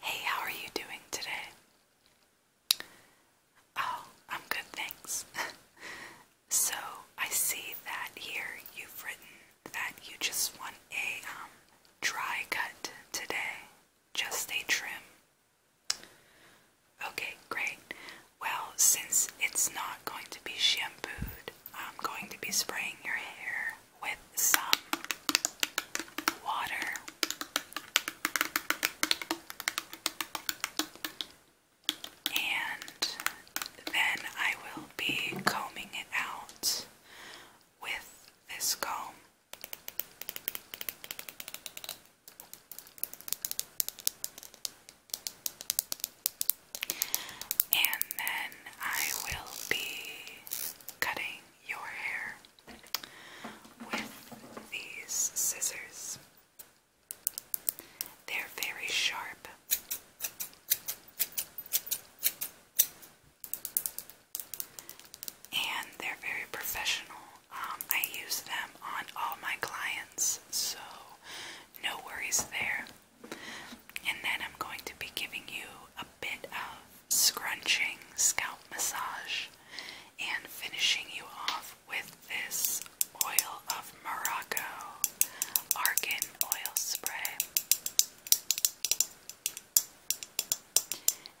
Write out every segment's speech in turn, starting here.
Hey, how are you doing today? Oh, I'm good, thanks. so, I see that here you've written that you just want a um, dry cut today, just a trim. Okay, great. Well, since it's not going to be shampooed, I'm going to be spraying your hair with some water. And then I will be combing it out with this comb. And then I will be cutting your hair with these scissors. They're very sharp. And they're very professional. Um, I use them on all my clients, so no worries there. And then I'm going to be giving you a bit of scrunching scalp massage and finishing you off with this oil of Morocco argan oil spray.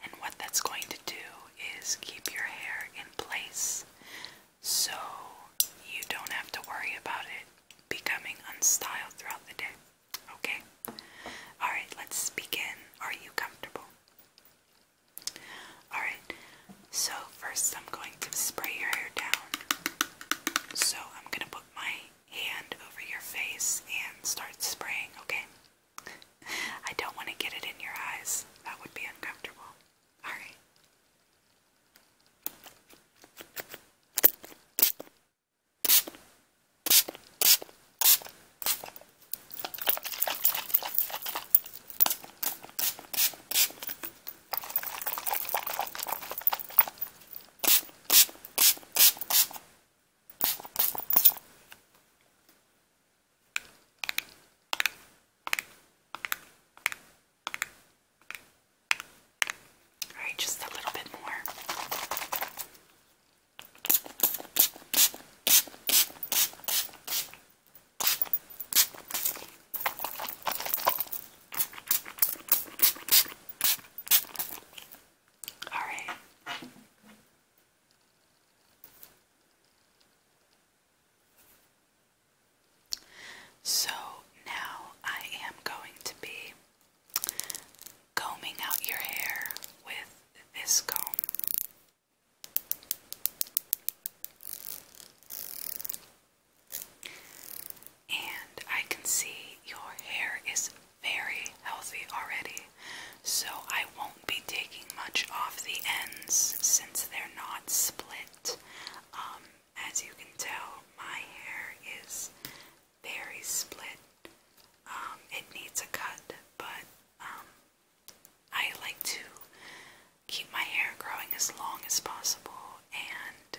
And what that's going to do is keep your hair in place so you don't have to worry about it becoming unstyled throughout the day. Okay? Alright, let's begin. Are you comfortable? Alright, so first I'm going to spray your hair down. So I'm going to put my hand over your face and start spraying, okay? I don't want to get it in your eyes. That would be uncomfortable. Alright. All right, just a little bit more. All right. So now I am going to be combing out your hair with this comb. And I can see your hair is very healthy already, so I won't be taking much off the ends since they're not split. Um, as you can tell, my hair is very split. Um, it needs a cut, but um, I like to keep my hair growing as long as possible, and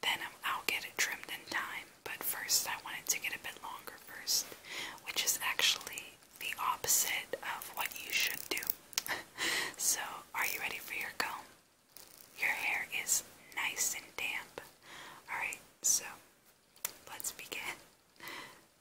then I'll get it trimmed in time. But first, I wanted to get a bit longer first, which is actually the opposite of what you should do. so, are you ready for your comb? Your hair is nice and damp. Alright, so let's begin.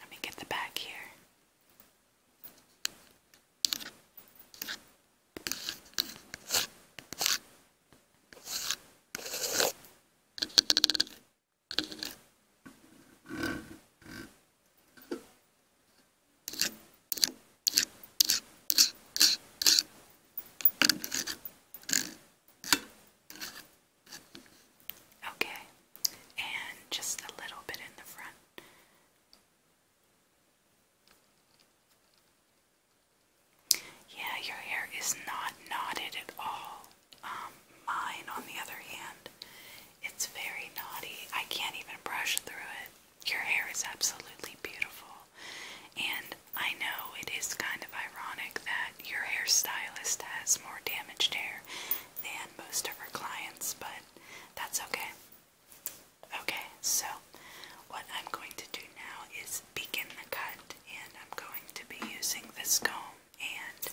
Let me get the back here. Okay, and just a little bit in the front. Yeah, your hair is not knotted at all. Um, mine, on the other hand, it's very knotty. I can't even brush through it. Your hair is absolutely beautiful. And I know it is kind of ironic that your hairstylist has more damaged hair than most of her clients, but that's okay. Okay, so what I'm going to do now is begin the cut, and I'm going to be using this comb and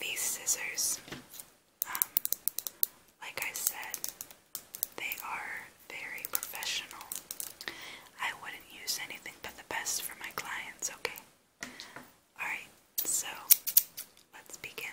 these scissors. Um, like I said, they are very professional. I wouldn't use anything but the best for my clients, okay? Alright, so let's begin.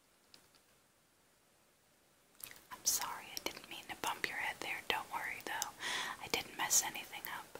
I'm sorry, I didn't mean to bump your head there. Don't worry though, I didn't mess anything up.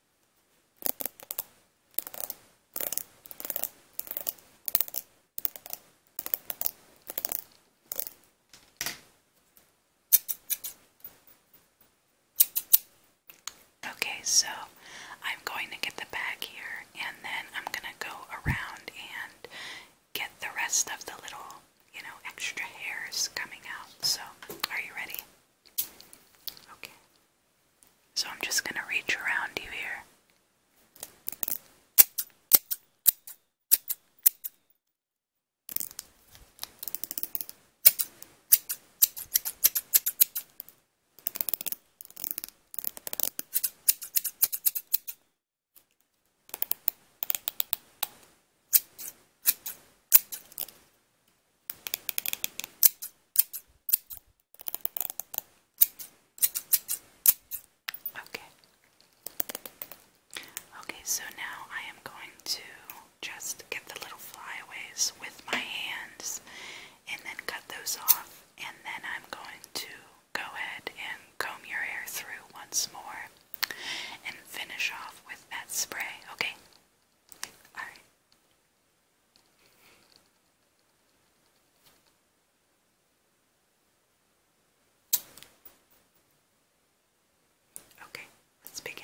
Okay, so I'm going to get the bag here and then I'm going to go around and get the rest of the little, you know, extra hairs coming out. So, are you ready? Okay. So I'm just going to reach around you here. Okay. Okay, so now I am going to just get the little flyaways with my hands and then cut those off, and then I'm going to go ahead and comb your hair through once more and finish off with that spray, okay? Alright. Okay, let's begin.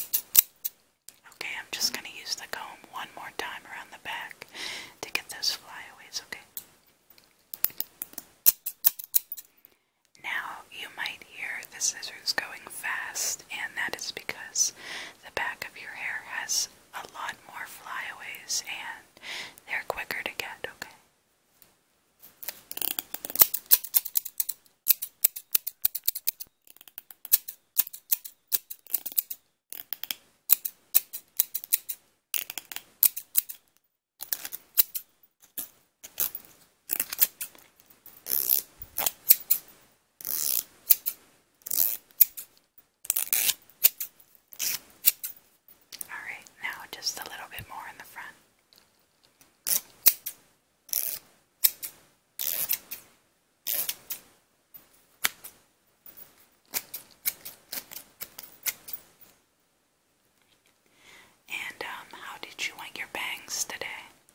Okay, I'm just going to use the comb one more time around the back to get those flyaways, okay? Now, you might hear the scissors going fast, and that is because the back of your hair has a lot more flyaways and they're quicker to get, okay? All right, now just a little bit more in the front. And um, how did you want your bangs today?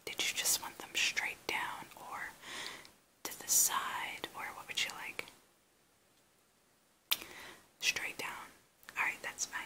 Did you just want them straight down or to the side or what would you like? Straight down. Alright, that's fine.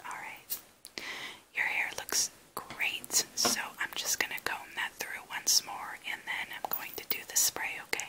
All right, your hair looks great, so I'm just going to comb that through once more and then I'm going to do the spray, okay?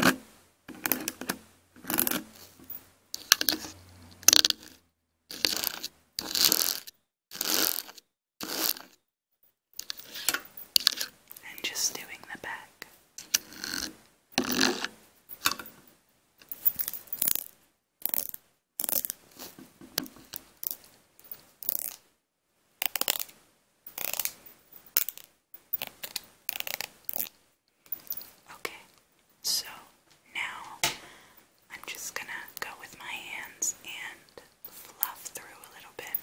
And just doing the back. Okay, so now I'm just gonna go with my hands and fluff through a little bit.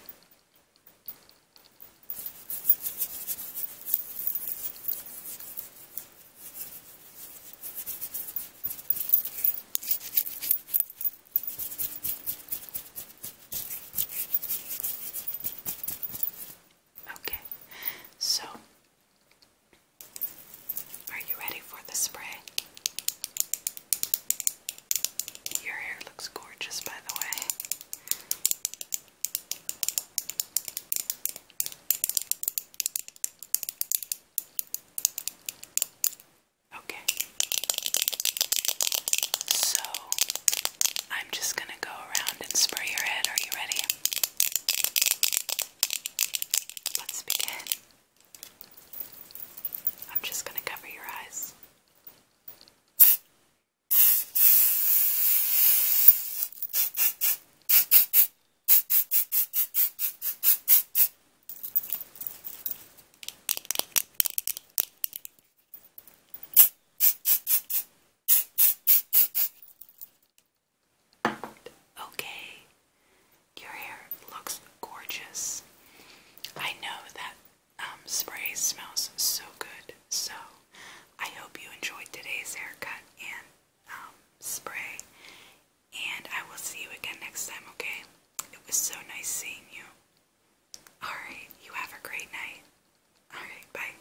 Okay, so are you ready for the spray? Your hair looks gorgeous, by the way. Okay. So, I'm just gonna go around and spray your head. Are you ready? Let's begin. I'm just going to cover your eyes. Okay, your hair looks gorgeous. I know that um, spray smells so good, so I hope you enjoyed today's haircut and um, spray. And I will see you again next time, okay? It was so nice seeing you. Alright, you have a great night. Alright, bye.